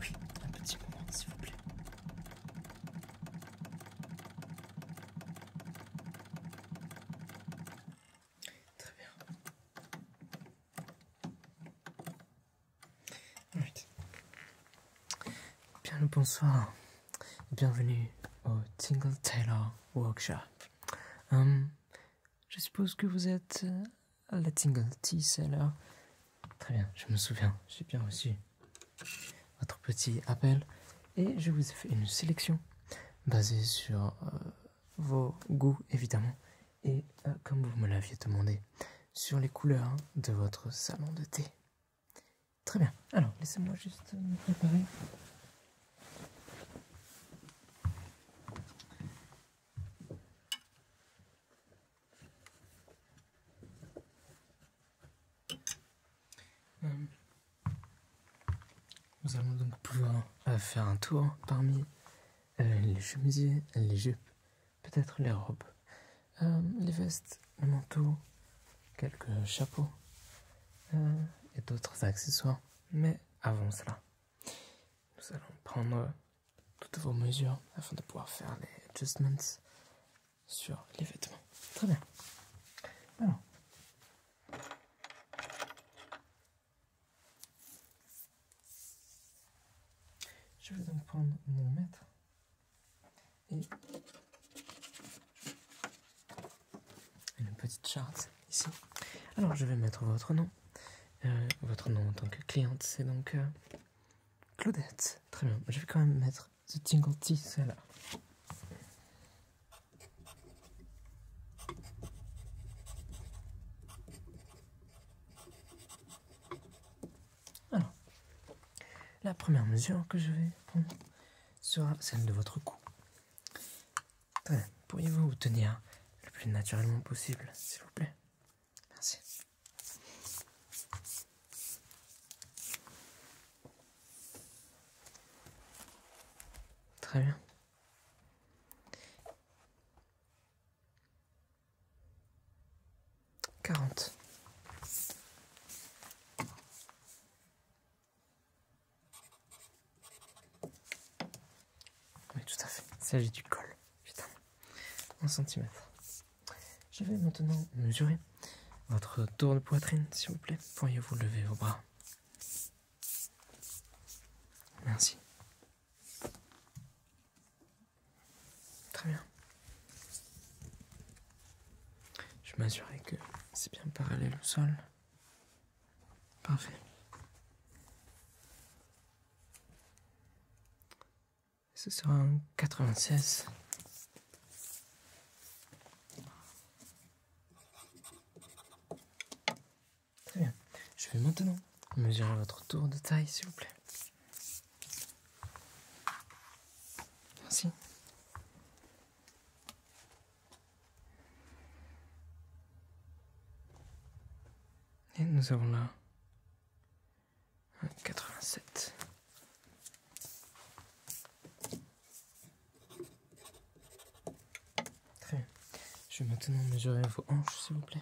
Oui, un petit moment, s'il vous plaît. Très bien. Bien le bonsoir. Bienvenue au Tingle Taylor Workshop. Hum. je suppose que vous êtes euh, la Tingle Tea Seller. Très bien, je me souviens, j'ai bien reçu votre petit appel et je vous ai fait une sélection basée sur euh, vos goûts évidemment et euh, comme vous me l'aviez demandé sur les couleurs de votre salon de thé. Très bien, alors laissez-moi juste me préparer euh, nous allons donc pouvoir euh, faire un tour parmi euh, les chemisiers, les jupes, peut-être les robes, les vestes, le manteau, quelques chapeaux et d'autres accessoires. Mais avant cela, nous allons prendre euh, toutes vos mesures afin de pouvoir faire les adjustments sur les vêtements. Très bien. Je vais donc prendre mon mètre et une petite charte ici. Alors je vais mettre votre nom. Euh, votre nom en tant que cliente, c'est donc euh, Claudette. Très bien, je vais quand même mettre The Tingle Tea, celle Alors, la première mesure que je vais prendre sera celle de votre cou. Pourriez-vous tenir le plus naturellement possible, s'il vous plaît Merci. Très bien. 40. Oui, tout à fait. Il s'agit du col. Putain. Un centimètre. Je vais maintenant mesurer votre tour de poitrine, s'il vous plaît. Pourriez-vous lever vos bras Merci. Très bien. Je m'assurer que c'est bien parallèle au sol. Parfait. Ce sera un 96. Très bien. Je vais maintenant mesurer votre tour de taille, s'il vous plaît. Merci. Et nous avons là 87. Très bien. Je vais maintenant mesurer vos hanches, s'il vous plaît.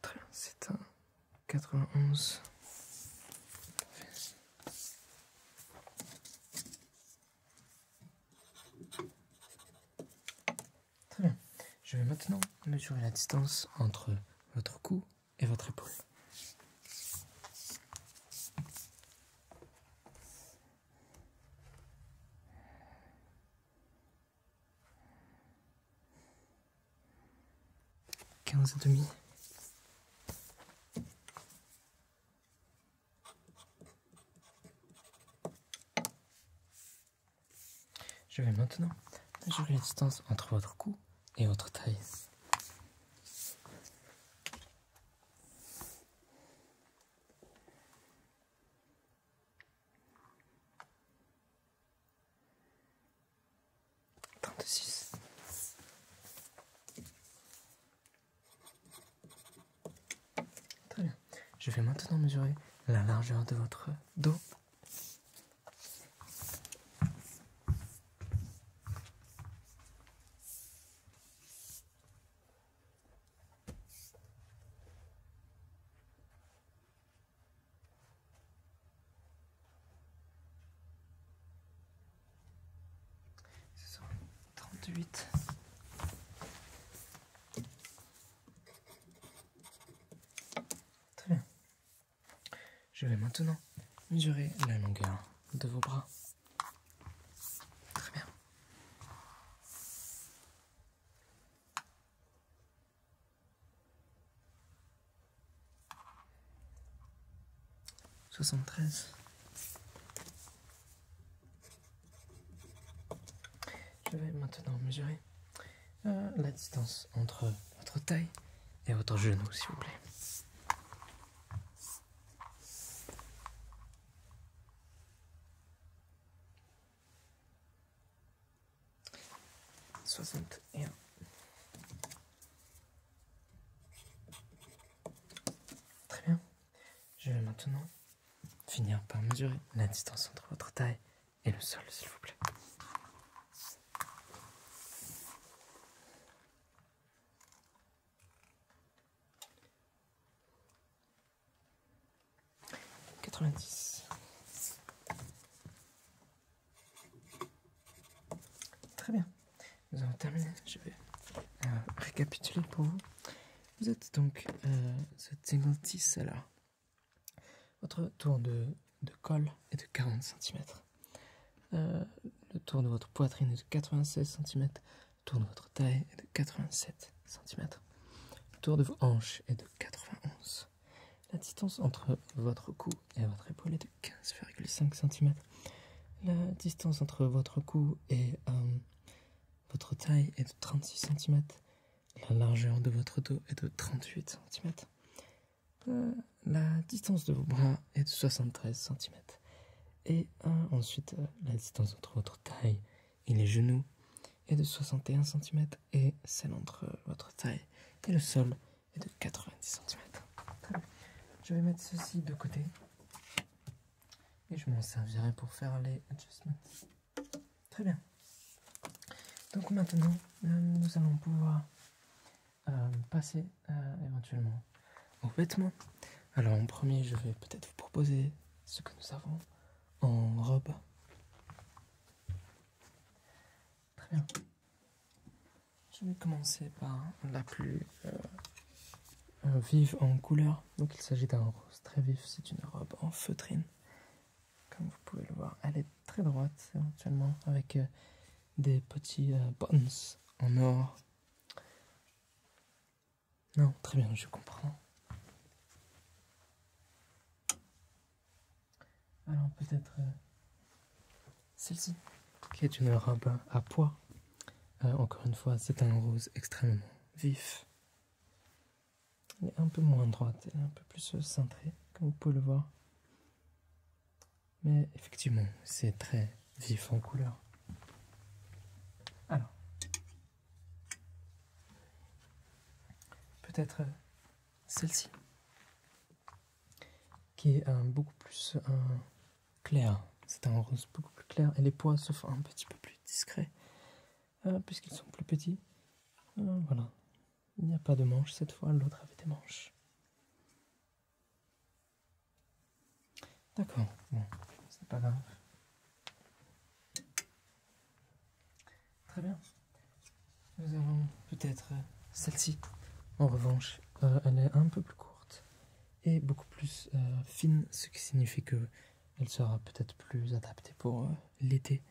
Très bien, c'est un 91. Très bien. Je vais maintenant mesurer la distance entre votre cou et votre épaule. Quinze Je vais maintenant mesurer la distance entre votre cou et votre taille. Je vais maintenant mesurer la largeur de votre dos. Ce sont 38. Très bien. Je vais maintenant mesurer la longueur de vos bras. Très bien. soixante Je vais maintenant mesurer euh, la distance entre votre taille et votre genou, s'il vous plaît. Soixante Très bien. Je vais maintenant finir par mesurer la distance entre votre taille et le sol, s'il vous plaît. 90. Très bien. Nous avons terminé. Je vais euh, récapituler pour vous. Vous êtes donc euh, cette là. Votre tour de, de, col est de 40 cm. Euh, le tour de votre poitrine est de 96 cm. Tour de votre taille est de 87 cm. Le tour de vos hanches est de 91. La distance entre votre cou et votre épaule est de 15,5 cm. La distance entre votre cou et euh, votre taille est de 36 cm. La largeur de votre dos est de 38 cm. Euh, la distance de vos bras est de 73 cm. Et euh, ensuite, la distance entre votre taille et les genoux est de 61 cm et celle entre euh, votre taille et le sol est de 90 cm. Je vais mettre ceci de côté et je m'en servirai pour faire les adjustments. Très bien. Donc maintenant, euh, nous allons pouvoir euh, passer éventuellement aux vêtements. Alors en premier, je vais peut-être vous proposer ce que nous avons en robe. Très bien. Je vais commencer par la plus euh, euh, vive en couleur. Donc il s'agit d'un rose très vif, c'est une robe en feutrine. Comme vous pouvez le voir, elle est très droite éventuellement avec euh, des petits bons en or. Non, très bien, je comprends. Alors peut-être euh, celle-ci, qui est une robe à pois. Euh, encore une fois, c'est un rose extrêmement vif. Elle est un peu moins droite, elle est un peu plus cintrée, comme vous pouvez le voir. Mais effectivement, c'est très vif en couleur. Alors, Peut-être euh, celle-ci, qui est beaucoup plus claire. C'est un rose beaucoup plus clair et les pois sont un petit peu plus discrets, euh, puisqu'ils sont plus petits. Euh, voilà. Il n'y a pas de manches cette fois, l'autre avait des manches. D'accord, bon, c'est pas grave. Très bien. Nous avons peut-être euh, celle-ci. En revanche, euh, elle est un peu plus courte et beaucoup plus euh, fine, ce qui signifie que elle sera peut-être plus adaptée pour l'été.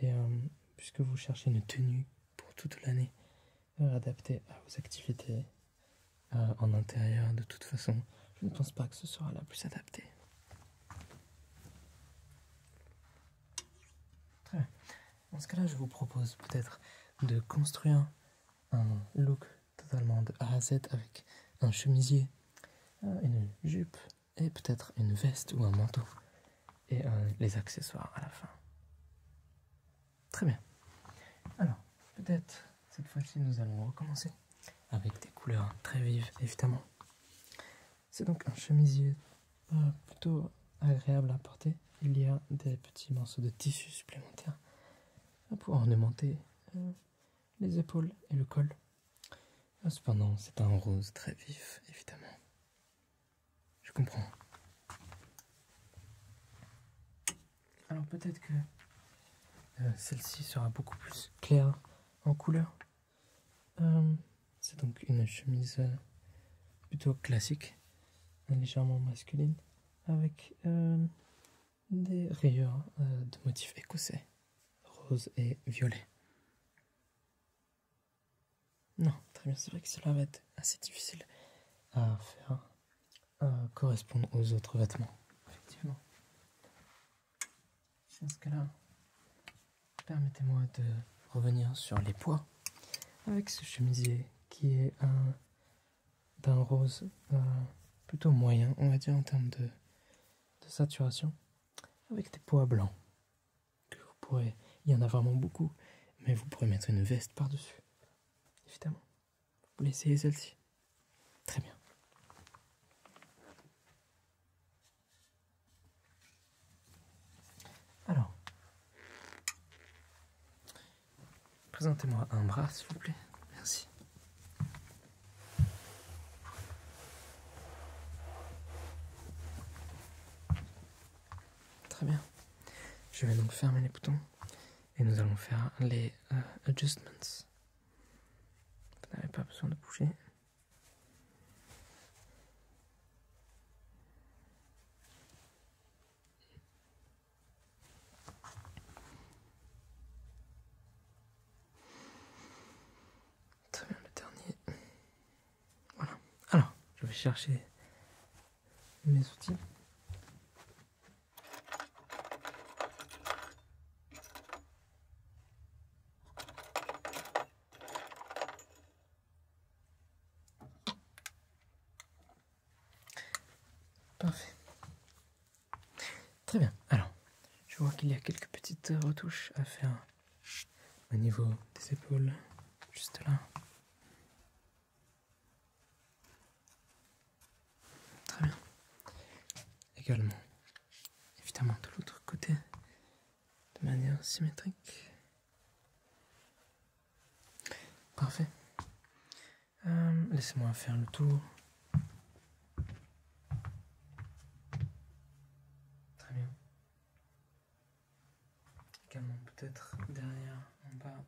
Et puisque vous cherchez une tenue pour toute l'année adaptée à vos activités euh, en intérieur de toute façon. Je ne pense pas que ce sera la plus adaptée. Très bien. Dans ce cas-là, je vous propose peut-être de construire un look totalement de A à Z avec un chemisier, euh, une jupe et peut-être une veste ou un manteau et euh, les accessoires à la fin. Très bien. Alors, peut-être cette fois-ci, nous allons recommencer avec des couleurs très vives, évidemment. C'est donc un chemisier euh, plutôt agréable à porter. Il y a des petits morceaux de tissu supplémentaires pour ornementer euh, les épaules et le col. Euh, cependant, c'est un rose très vif, évidemment. Je comprends. Alors peut-être que euh, celle-ci sera beaucoup plus claire en couleur. Euh, c'est donc une chemise euh, plutôt classique, légèrement masculine, avec des rayures de motifs écossais, rose et violet. Non, très bien, c'est vrai que cela va être assez difficile à faire correspondre aux autres vêtements, effectivement cas là, permettez-moi de revenir sur les poids avec ce chemisier qui est un d'un rose euh, plutôt moyen, on va dire en termes de, saturation, avec des poids blancs vous pourrez, il y en a vraiment beaucoup, mais vous pourrez mettre une veste par-dessus, évidemment. Vous laissez celle-ci. Très bien. Alors, présentez-moi un bras, s'il vous plaît. Merci. Très bien. Je vais donc fermer les boutons et nous allons faire les euh, adjustments. Vous n'avez pas besoin de bouger. Très bien, le dernier. Voilà. Alors, je vais chercher mes outils. Parfait. Très bien. Alors, je vois qu'il y a quelques petites retouches à faire au niveau des épaules, juste là. Très bien également. Évidemment de l'autre côté, de manière symétrique. Parfait. Euh, laissez-moi faire le tour. Très bien. Également peut-être derrière, en bas,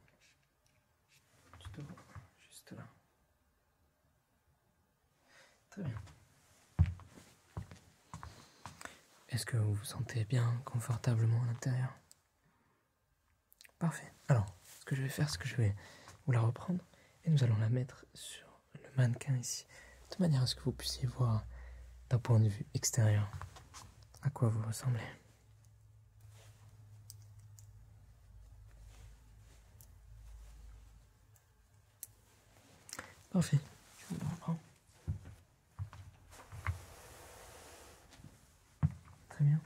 du juste là. Très bien. Est-ce que vous vous sentez bien, confortablement à l'intérieur Parfait. Alors, ce que je vais faire, c'est que je vais vous la reprendre et nous allons la mettre sur le mannequin ici, de manière à ce que vous puissiez voir d'un point de vue extérieur à quoi vous ressemblez. Parfait. Je vous reprends. Très bien.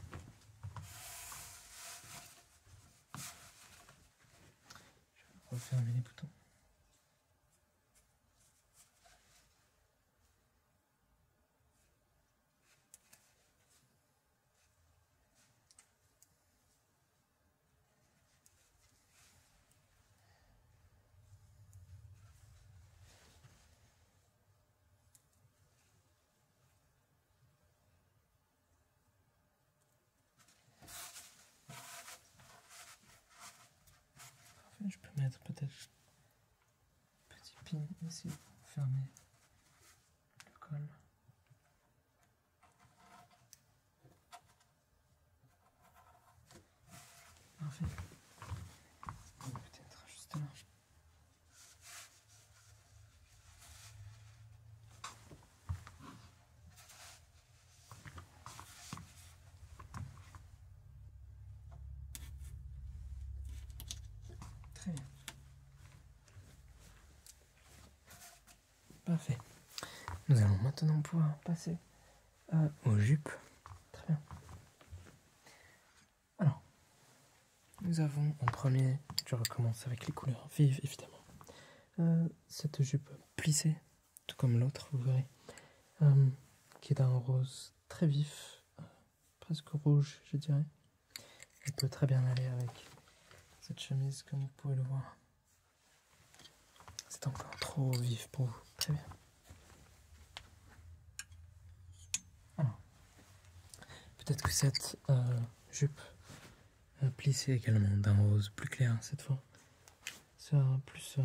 Je vais refermer les boutons je peux mettre peut-être petit pin ici pour fermer le col. Parfait. Peut-être juste là. Très bien. Parfait. Nous allons maintenant pouvoir passer euh, aux jupes. Très bien. Alors, nous avons en premier, je recommence avec les couleurs vives évidemment, euh, cette jupe plissée, tout comme l'autre, vous verrez, euh, qui est d'un rose très vif, presque rouge, je dirais. Elle peut très bien aller avec cette chemise, comme vous pouvez le voir. C'est encore trop vif pour vous. Très bien. peut-être que cette euh, jupe euh, plissée également d'un rose plus clair cette fois sera plus euh,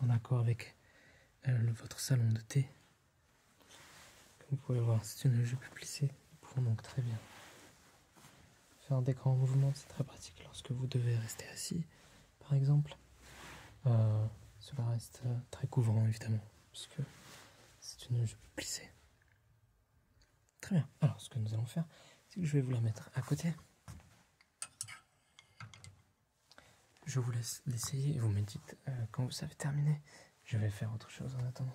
en accord avec votre salon de thé. vous pouvez le voir, c'est une jupe plissée. Nous donc très bien faire des grands mouvements, c'est très pratique lorsque vous devez rester assis, par exemple. Euh, cela reste euh, très couvrant, évidemment, puisque c'est une jupe plissée. Très bien. Alors, ce que nous allons faire, c'est que je vais vous la mettre à côté. Je vous laisse l'essayer et vous me dites euh, quand vous savez terminer. Je vais faire autre chose en attendant.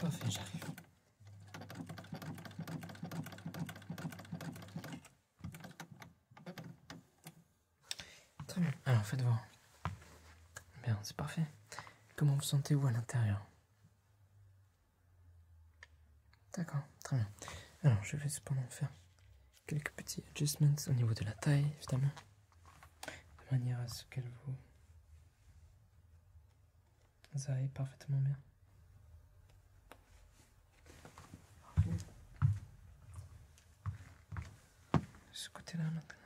Parfait, j'arrive. Très bien. Alors faites voir. Bien, c'est parfait. Comment vous sentez-vous à l'intérieur D'accord, très bien. Alors je vais cependant faire quelques petits adjustments au niveau de la taille, évidemment. De manière à ce qu'elle vous ça est parfaitement bien. Ce côté-là maintenant.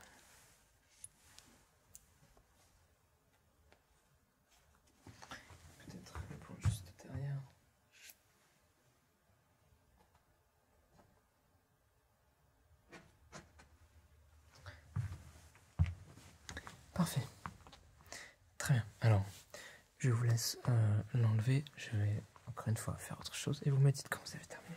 Peut-être pour juste derrière. Parfait. Très bien. Alors, je vous laisse euh, l'enlever. Je vais encore une fois faire autre chose et vous me dites quand vous avez terminé.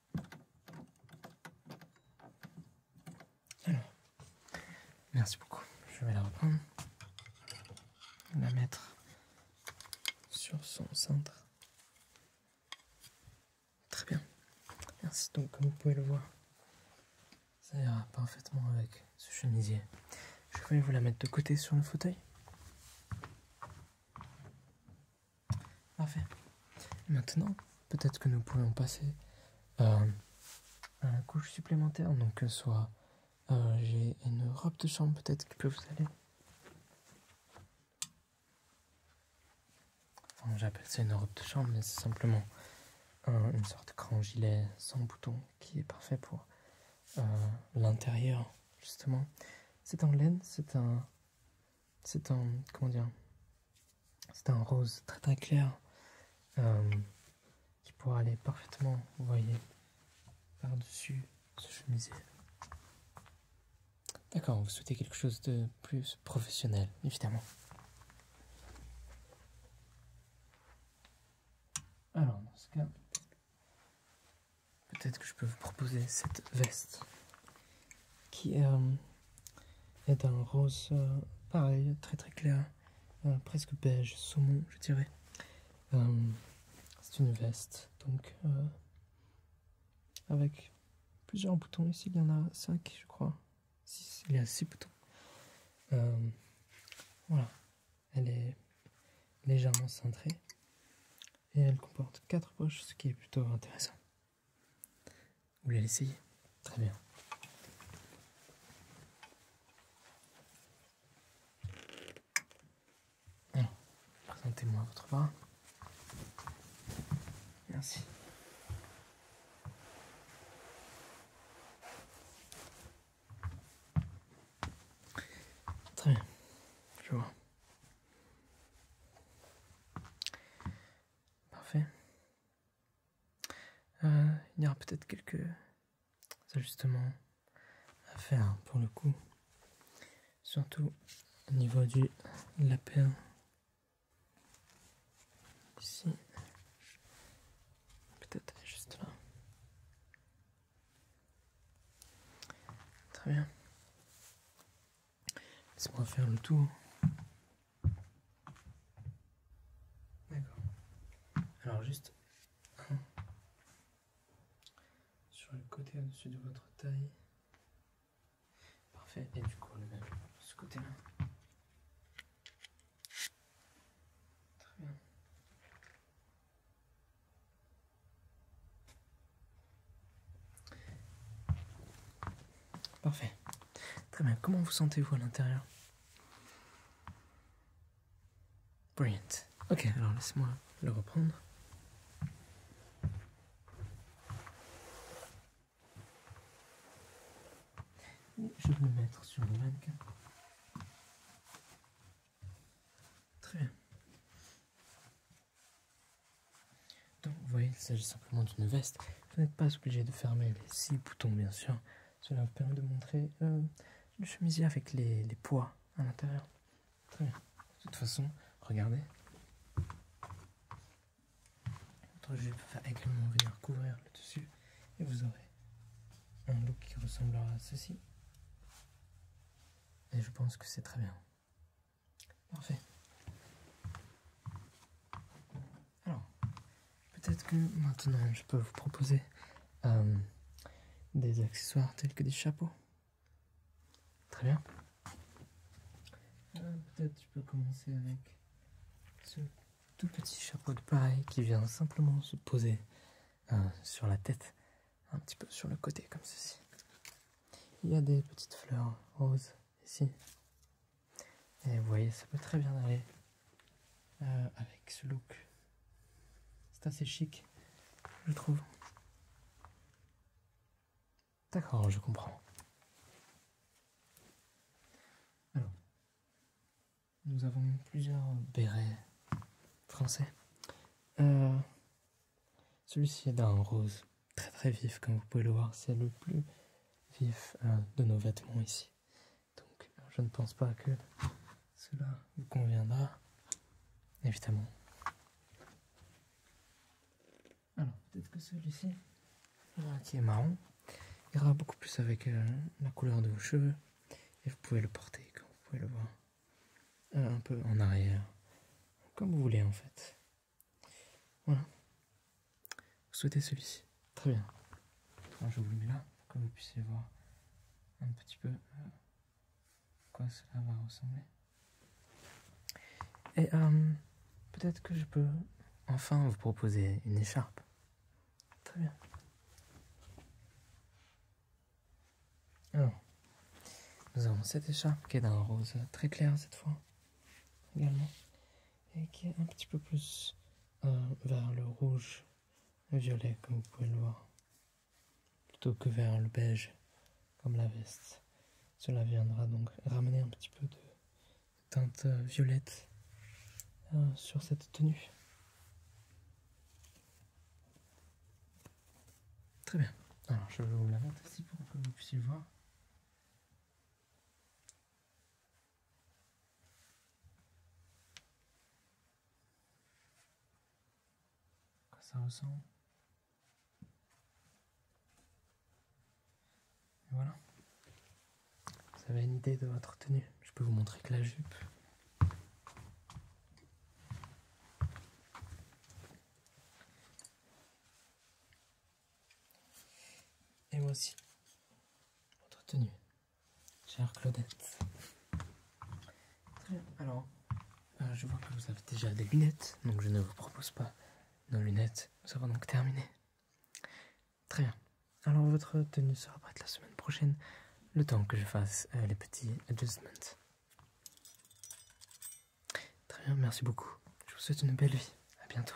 Alors, merci beaucoup. Je vais la reprendre. La mettre sur son centre, Très bien. Merci. Donc, comme vous pouvez le voir, ça ira parfaitement avec ce chemisier. Je vais vous la mettre de côté sur le fauteuil. Parfait. Maintenant, peut-être que nous pourrions passer euh, à la couche supplémentaire, donc euh, soit euh, j'ai une robe de chambre peut-être qui peut vous aller. Enfin, j'appelle ça une robe de chambre, mais c'est simplement une sorte de grand gilet sans bouton qui est parfait pour l'intérieur, justement. C'est en laine, c'est un c'est un. Comment C'est un rose très très clair euh, qui pourra aller parfaitement, vous voyez, par-dessus ce chemisier. D'accord, vous souhaitez quelque chose de plus professionnel, évidemment. Alors, dans ce cas, peut-être que je peux vous proposer cette veste qui euh, est un rose euh, pareil, très très clair, euh, presque beige, saumon, je dirais. c'est une veste, donc avec plusieurs boutons ici, il y en a cinq, je crois. il y a 6 boutons. voilà, elle est légèrement cintrée et elle comporte 4 poches, ce qui est plutôt intéressant. Vous voulez l'essayer Très bien. Présentez-moi votre bras. Merci. Très bien. Je vois. Parfait. Euh, il y aura peut-être quelques ajustements à faire pour le coup, surtout au niveau du lapin ici, peut-être juste là. Très bien. Laisse-moi faire le tour D'accord. Alors juste sur le côté au-dessus de votre taille. Parfait. Et du coup, le même ce côté-là. Très bien. Parfait. Très bien. Comment vous sentez-vous à l'intérieur Brilliant. Ok, alors laisse-moi le reprendre. Je vais le mettre sur le mannequin. Très bien. Donc vous voyez, il s'agit simplement d'une veste. Vous n'êtes pas obligé de fermer les six boutons bien sûr. Cela vous permet de montrer le euh, chemisier avec les, poids à l'intérieur. Très bien. De toute façon, regardez. Votre jupe va venir couvrir le dessus et vous aurez un look qui ressemblera à ceci. Et je pense que c'est très bien. Parfait. Alors, peut-être que maintenant je peux vous proposer euh, des accessoires tels que des chapeaux. Très bien. Euh, peut-être je peux commencer avec ce tout petit chapeau de pareil qui vient simplement se poser euh, sur la tête, un petit peu sur le côté comme ceci. Il y a des petites fleurs roses ici, et vous voyez, ça peut très bien aller euh, avec ce look. C'est assez chic, je trouve. D'accord, je comprends. Alors, nous avons plusieurs bérets français. Euh, celui-ci est d'un rose très très vif, comme vous pouvez le voir. C'est le plus vif euh, de nos vêtements ici. Donc je ne pense pas que cela vous conviendra, évidemment. Alors peut-être que celui-ci, qui est marron, ira beaucoup plus avec euh, la couleur de vos cheveux. Et vous pouvez le porter, comme vous pouvez le voir, euh, un peu en arrière, comme vous voulez en fait. Voilà. Vous souhaitez celui-ci. Très bien. je vous le mets là, pour que vous puissiez voir un petit peu euh, quoi cela va ressembler. Et euh, peut-être que je peux enfin vous proposer une écharpe. Très bien. Alors, nous avons cette écharpe qui est d'un rose très clair cette fois. Également et qui est un petit peu plus euh, vers le rouge violet comme vous pouvez le voir plutôt que vers le beige comme la veste cela viendra donc ramener un petit peu de teinte euh, violette euh, sur cette tenue très bien alors je vais vous la vente ici pour que vous puissiez voir ça ressemble. voilà. Vous avez une idée de votre tenue. Je peux vous montrer que la jupe. Et moi aussi. Votre tenue. Chère Claudette. Très bien. Alors, euh, je vois que vous avez déjà des lunettes, donc je ne vous propose pas nos lunettes. Nous avons donc terminé. Très bien. Alors, votre tenue sera prête la semaine prochaine, le temps que je fasse euh, les petits adjustments. Très bien, merci beaucoup. Je vous souhaite une belle vie. À bientôt.